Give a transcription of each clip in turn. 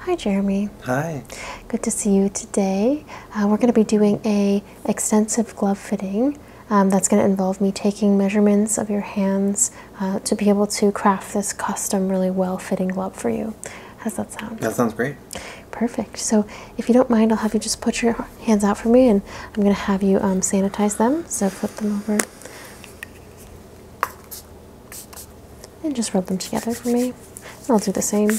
Hi, Jeremy. Hi. Good to see you today. Uh, we're going to be doing a extensive glove fitting. Um, that's going to involve me taking measurements of your hands uh, to be able to craft this custom, really well-fitting glove for you. How's that sound? That sounds great. Perfect. So if you don't mind, I'll have you just put your hands out for me, and I'm going to have you um, sanitize them. So flip them over and just rub them together for me. I'll do the same.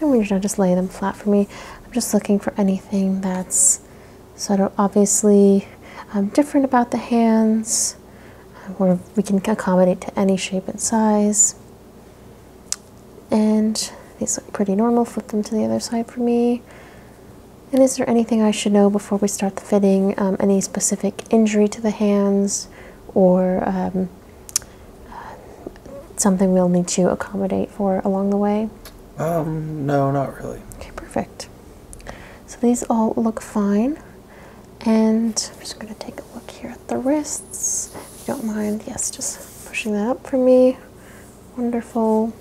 And when you're done, just lay them flat for me. I'm just looking for anything that's sort of obviously um, different about the hands, where we can accommodate to any shape and size. And these look pretty normal. Flip them to the other side for me. And is there anything I should know before we start the fitting? Um, any specific injury to the hands or um, uh, something we'll need to accommodate for along the way? Um, no, not really. Okay, perfect. So these all look fine. And I'm just going to take a look here at the wrists you don't mind, yes, just pushing that up for me. Wonderful.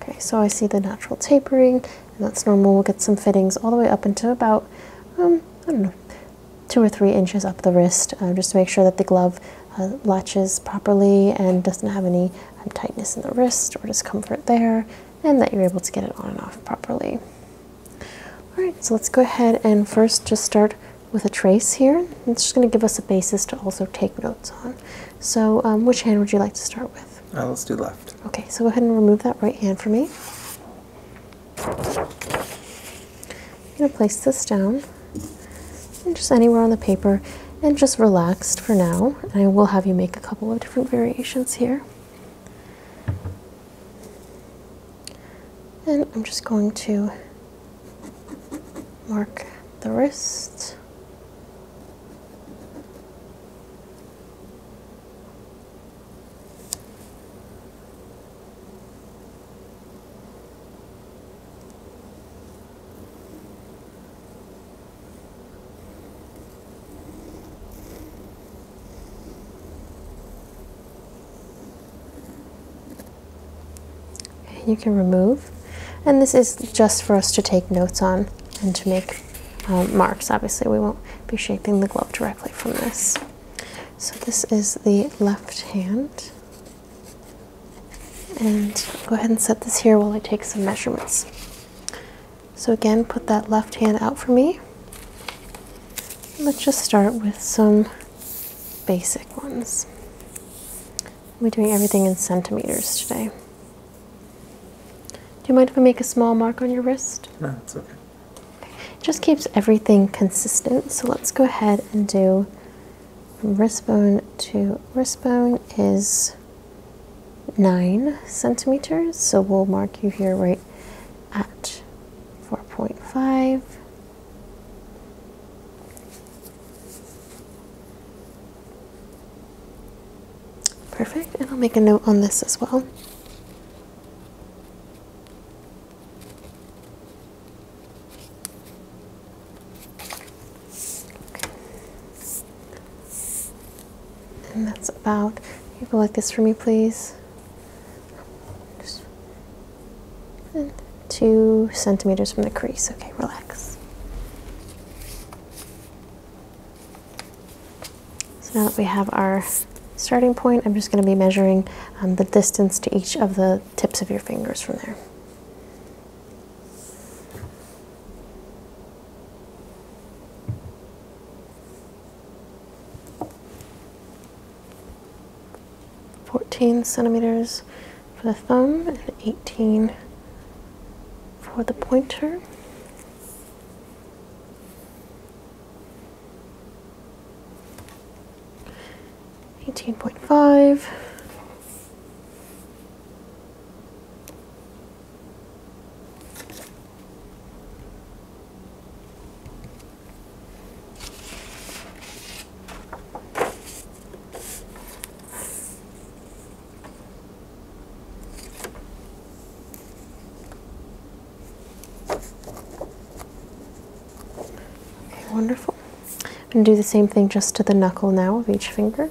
Okay, so I see the natural tapering, and that's normal. We'll get some fittings all the way up into about, um, I don't know, two or three inches up the wrist, uh, just to make sure that the glove uh, latches properly and doesn't have any um, tightness in the wrist or discomfort there, and that you're able to get it on and off properly. All right, so let's go ahead and first just start with a trace here. It's just going to give us a basis to also take notes on. So um, which hand would you like to start with? Uh, let's do left. Okay, so go ahead and remove that right hand for me. I'm going to place this down just anywhere on the paper and just relaxed for now. And I will have you make a couple of different variations here. And I'm just going to mark the wrist you can remove. And this is just for us to take notes on and to make um, marks. Obviously, we won't be shaping the glove directly from this. So this is the left hand. And go ahead and set this here while I take some measurements. So again, put that left hand out for me. Let's just start with some basic ones. We're doing everything in centimeters today. Do you mind if I make a small mark on your wrist? No, it's okay. okay. It just keeps everything consistent. So let's go ahead and do wristbone to wristbone is nine centimeters. So we'll mark you here right at 4.5. Perfect, and I'll make a note on this as well. And that's about, you go like this for me please two centimeters from the crease. Okay, relax. So now that we have our starting point, I'm just going to be measuring um, the distance to each of the tips of your fingers from there. 14 centimeters for the thumb and 18 for the pointer. Eighteen point five. Okay, wonderful. I'm going to do the same thing just to the knuckle now of each finger.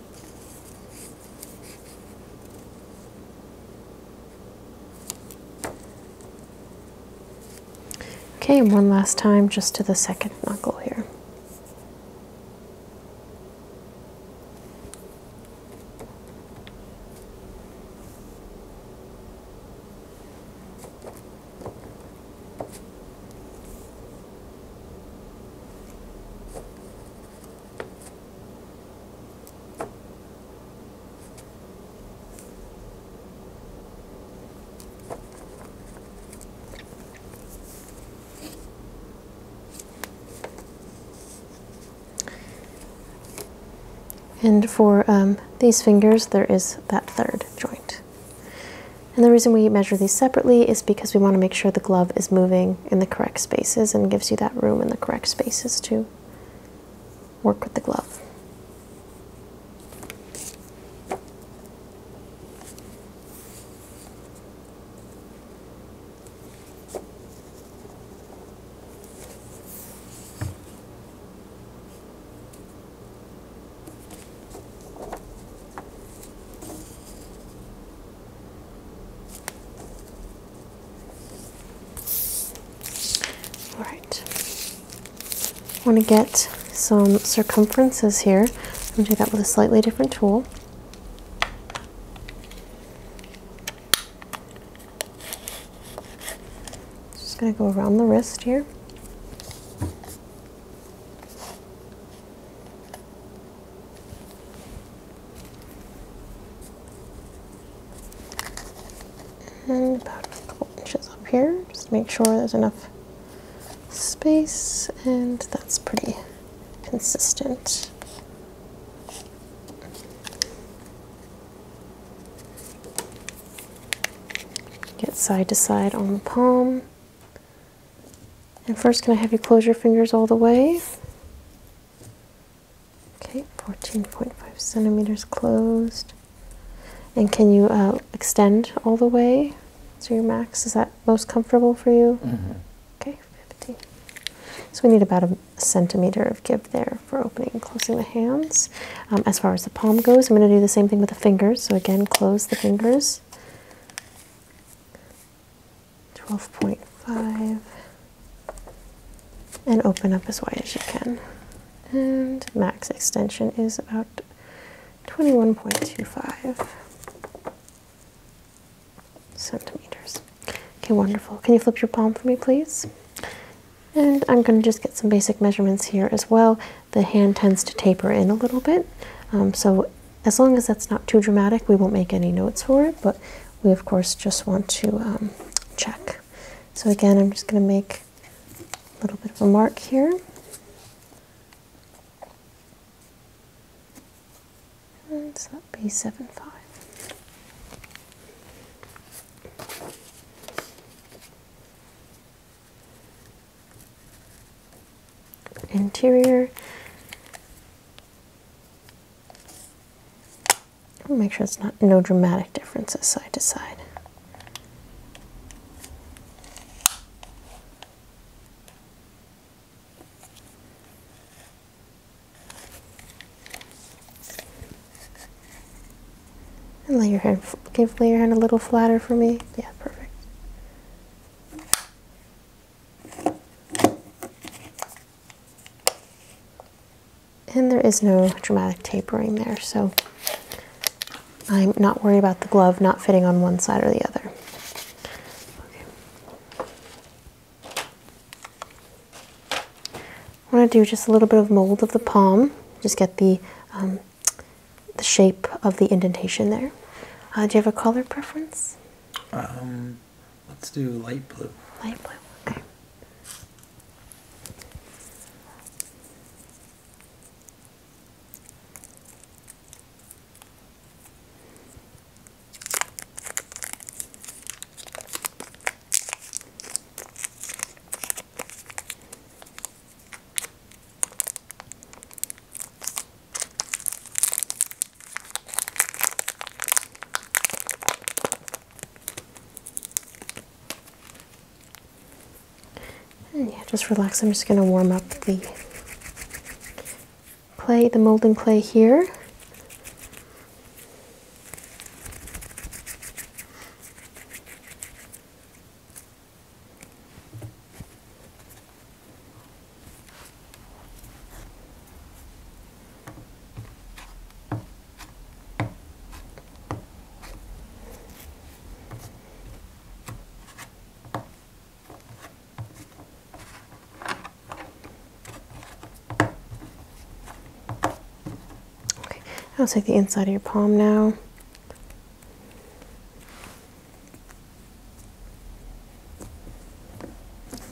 Okay, one last time just to the second knuckle here. And for um, these fingers, there is that third joint. And the reason we measure these separately is because we want to make sure the glove is moving in the correct spaces and gives you that room in the correct spaces to work with the glove. All right. I want to get some circumferences here. I'm going to do that with a slightly different tool. Just going to go around the wrist here. And about a couple inches up here, just make sure there's enough space and that's pretty consistent. Get side to side on the palm. And first, can I have you close your fingers all the way? Okay, 14.5 centimeters closed. And can you uh, extend all the way to your max? Is that most comfortable for you? Mm-hmm. Okay, 15. So we need about a centimeter of give there for opening and closing the hands. Um, as far as the palm goes, I'm going to do the same thing with the fingers. So again, close the fingers. 12.5 and open up as wide as you can. And max extension is about 21.25 centimeters. Okay, wonderful. Can you flip your palm for me, please? And I'm going to just get some basic measurements here as well. The hand tends to taper in a little bit, um, so as long as that's not too dramatic, we won't make any notes for it, but we of course just want to um, check. So again, I'm just going to make a little bit of a mark here. And so that'd 7, 5 interior. Make sure it's not no dramatic differences side to side. And lay your hand, Give lay your hand a little flatter for me? Yeah, perfect. And there is no dramatic tapering there, so I'm not worried about the glove not fitting on one side or the other. Okay. I want to do just a little bit of mold of the palm, just get the um, the shape of the indentation there. Uh, do you have a color preference? Um, let's do light blue. Light blue, okay yeah, just relax. I'm just going to warm up the clay, the molding clay here. Okay, I'll take the inside of your palm now.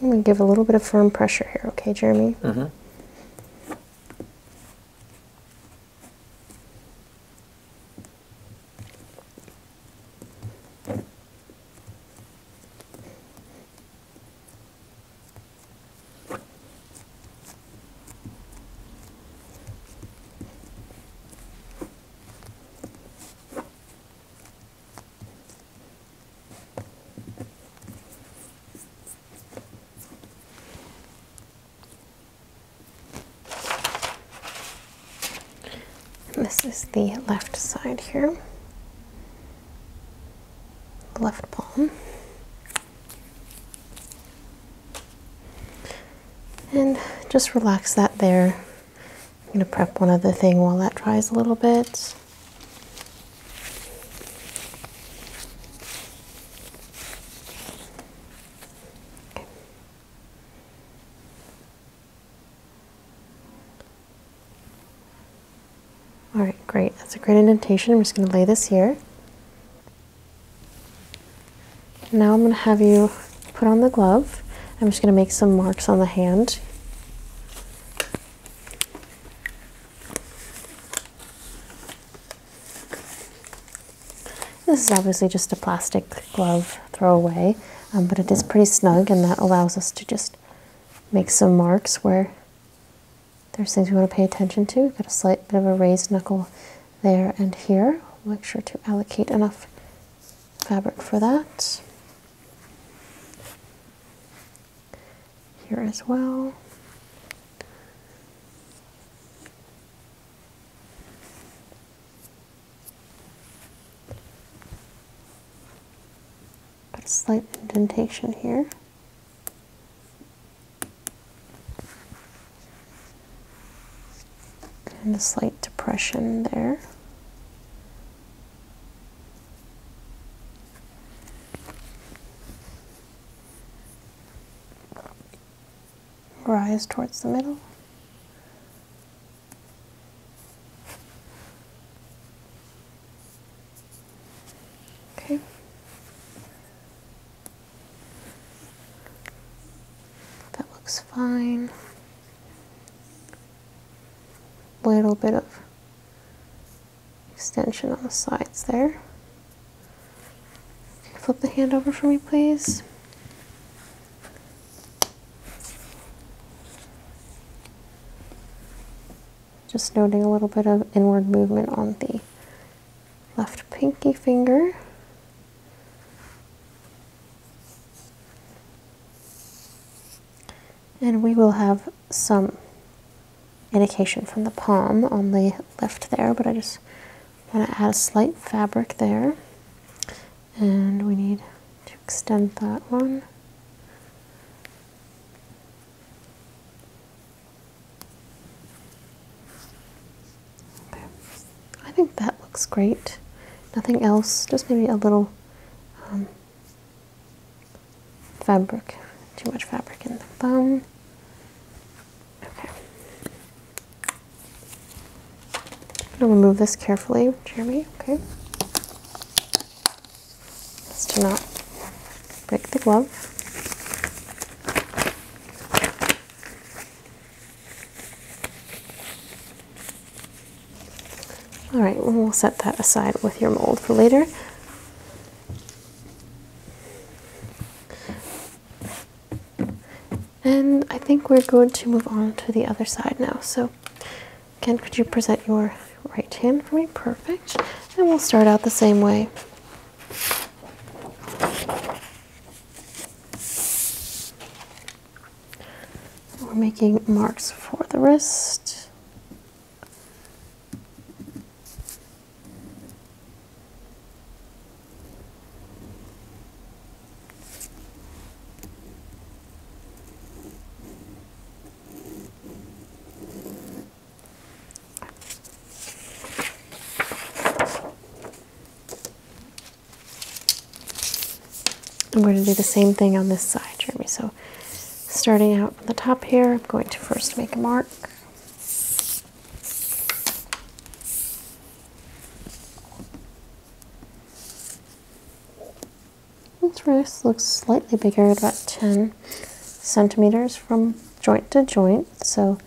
I'm going to give a little bit of firm pressure here, okay, Jeremy? Mm-hmm this is the left side here, left palm. And just relax that there I'm going to prep one other thing while that dries a little bit. All right, great. That's a great indentation. I'm just going to lay this here. Now I'm going to have you put on the glove. I'm just going to make some marks on the hand. This is obviously just a plastic glove throwaway, um, but it is pretty snug and that allows us to just make some marks where there's things we want to pay attention to. We've got a slight bit of a raised knuckle there and here. Make sure to allocate enough fabric for that. Here as well. Put a slight indentation here and a slight depression there. Rise towards the middle. Okay. That looks fine little bit of extension on the sides there. flip the hand over for me, please? Just noting a little bit of inward movement on the left pinky finger. And we will have some indication from the palm on the left there, but I just want to add a slight fabric there. And we need to extend that one. I think that looks great. Nothing else, just maybe a little um, fabric, too much fabric in the bum. Okay. I'm gonna remove this carefully, Jeremy, okay? Just to not break the glove. All right, we'll set that aside with your mold for later. And I think we're going to move on to the other side now. So, Ken, could you present your right hand for me? Perfect. And we'll start out the same way. We're making marks for the wrist. I'm going to do the same thing on this side, Jeremy. So, starting out from the top here, I'm going to first make a mark. This wrist looks slightly bigger, about 10 centimeters from joint to joint. So,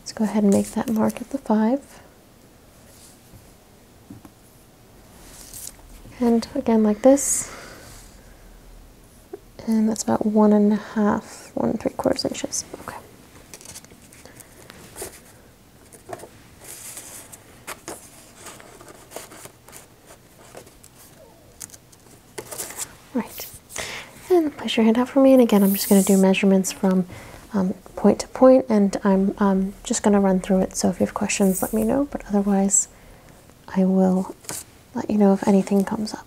let's go ahead and make that mark at the 5. And again like this. And that's about one and a half, one and three quarters inches. Okay. Right. And place your hand out for me. And again, I'm just going to do measurements from um, point to point and I'm um, just going to run through it. So if you have questions, let me know. But otherwise, I will let you know if anything comes up.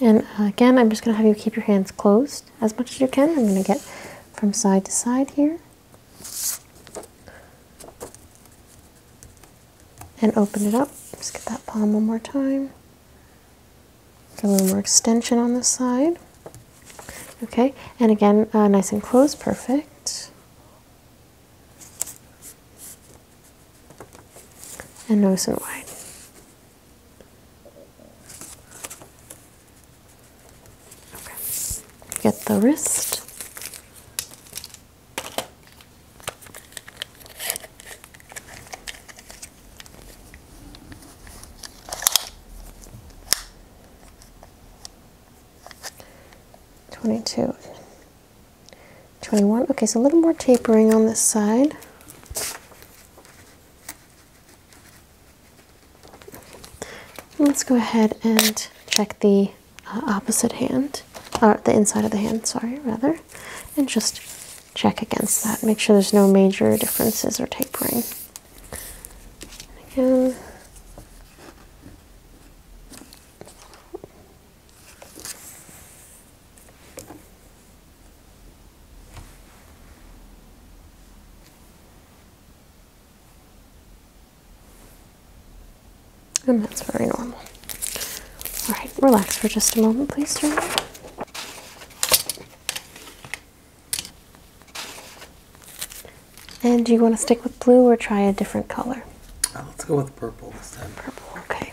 And uh, again, I'm just going to have you keep your hands closed as much as you can. I'm going to get from side to side here. And open it up. Just get that palm one more time a little more extension on this side. Okay, and again, uh, nice and close, perfect. And nice and wide. Okay, get the wrist. 22, 21. Okay, so a little more tapering on this side. let's go ahead and check the uh, opposite hand, or the inside of the hand, sorry, rather, and just check against that. Make sure there's no major differences or tapering. Again. And that's very normal. All right, relax for just a moment, please, darling. And do you want to stick with blue or try a different color? Uh, let's go with purple this time. Purple, okay.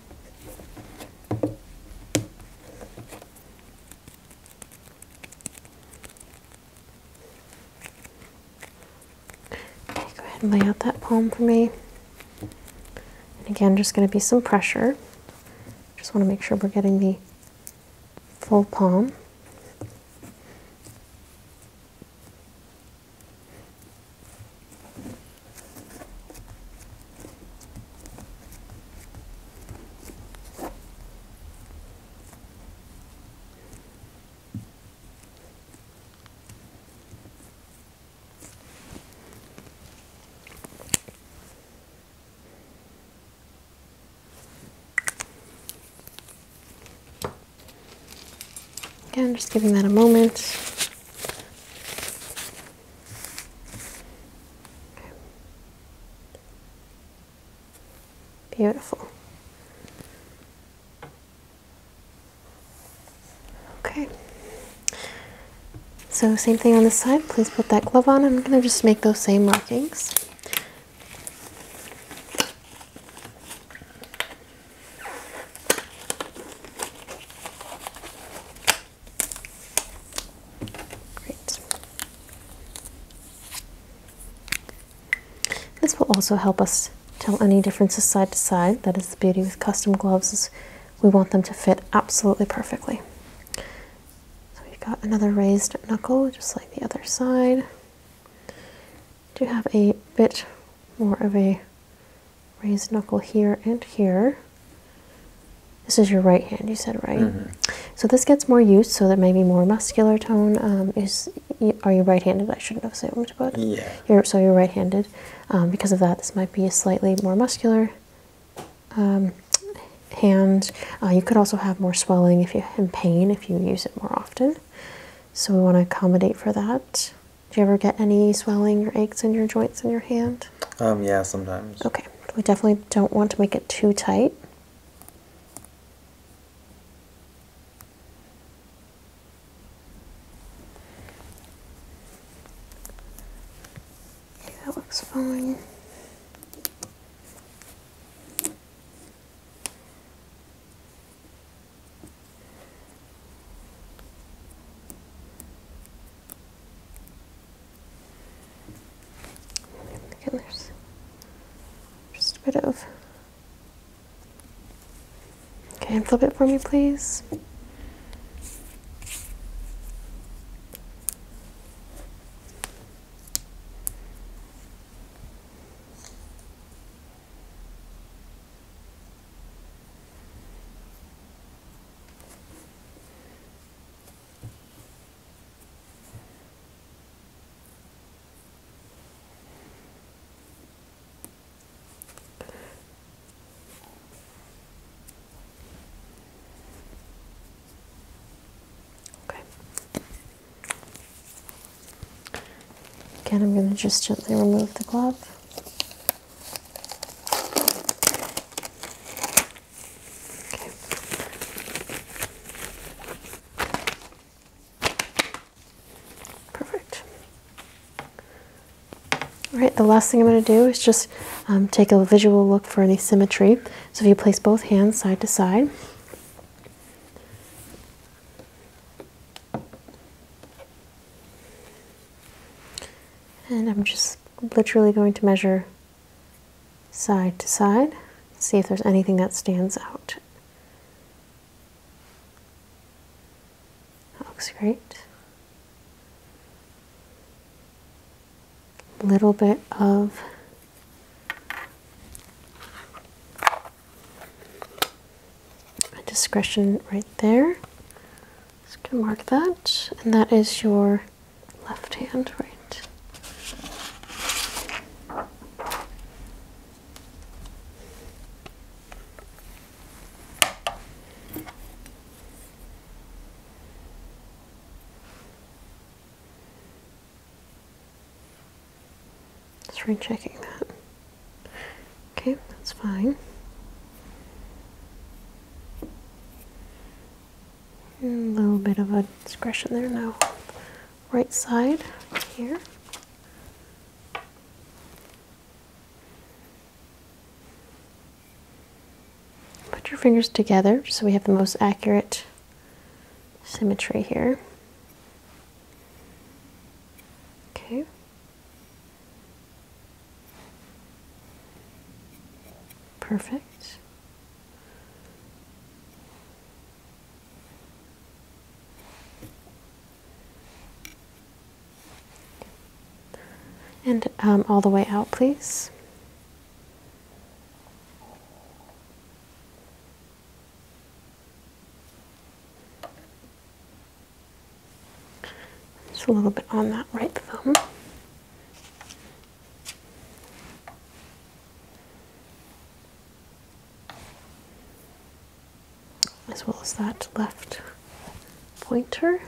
go ahead and lay out that palm for me. And again, just going to be some pressure. Just want to make sure we're getting the full palm. I'm just giving that a moment. Beautiful. Okay. So same thing on this side. Please put that glove on. I'm going to just make those same markings. Great. This will also help us tell any differences side to side. That is the beauty with custom gloves is we want them to fit absolutely perfectly. So we've got another raised knuckle, just like the other side. Do have a bit more of a raised knuckle here and here. This is your right hand, you said, right? Mm-hmm. So this gets more use, so that maybe more muscular tone um, is. Are you right-handed? I shouldn't have assumed, but yeah. You're, so you're right-handed. Um, because of that, this might be a slightly more muscular um, hand. Uh, you could also have more swelling if you in pain if you use it more often. So we want to accommodate for that. Do you ever get any swelling or aches in your joints in your hand? Um, yeah, sometimes. Okay, we definitely don't want to make it too tight. that looks fine. And there's just a bit of. Okay, and flip it for me, please. Okay. Again, I'm going to just gently remove the glove. Perfect. All right, the last thing I'm going to do is just um, take a visual look for any symmetry. So if you place both hands side to side, and I'm just literally going to measure side to side, see if there's anything that stands out. That looks great. Little bit of discretion right there. Just gonna mark that, and that is your left hand, right? Just rechecking that. Okay, that's fine a little bit of a discretion there now. Right side here. Put your fingers together so we have the most accurate symmetry here. Okay. Perfect. And um, all the way out, please. Just a little bit on that right thumb. As well as that left pointer.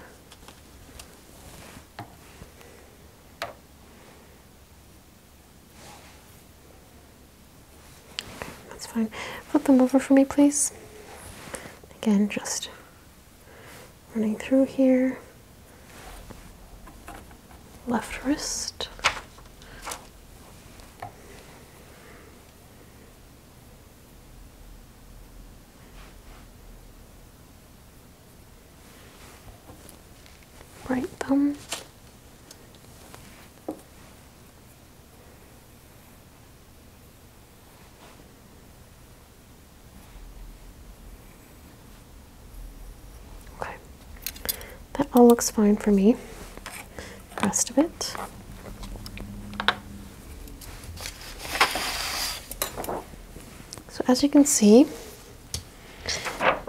That's fine. Flip them over for me, please. Again, just running through here. Left wrist. Right thumb. Okay, that all looks fine for me. rest of it. So as you can see,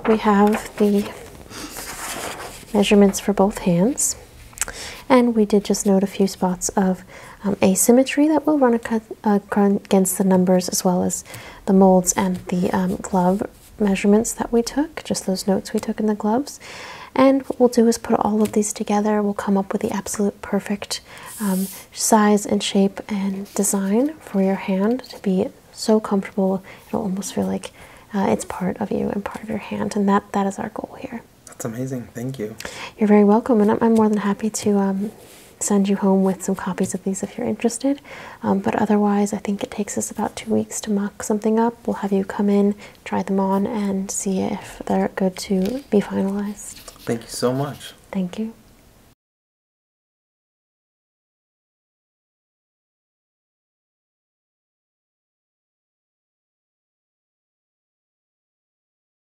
we have the measurements for both hands. And we did just note a few spots of um, asymmetry that we'll run a cut. Uh, against the numbers as well as the molds and the um, glove measurements that we took, just those notes we took in the gloves. And what we'll do is put all of these together. We'll come up with the absolute perfect um, size and shape and design for your hand to be so comfortable. It'll almost feel like uh, it's part of you and part of your hand. And that, that is our goal here. That's amazing. Thank you. You're very welcome. And I'm, more than happy to um, send you home with some copies of these if you're interested. Um, but otherwise, I think it takes us about two weeks to mock something up. We'll have you come in, try them on, and see if they're good to be finalized. Thank you so much. Thank you.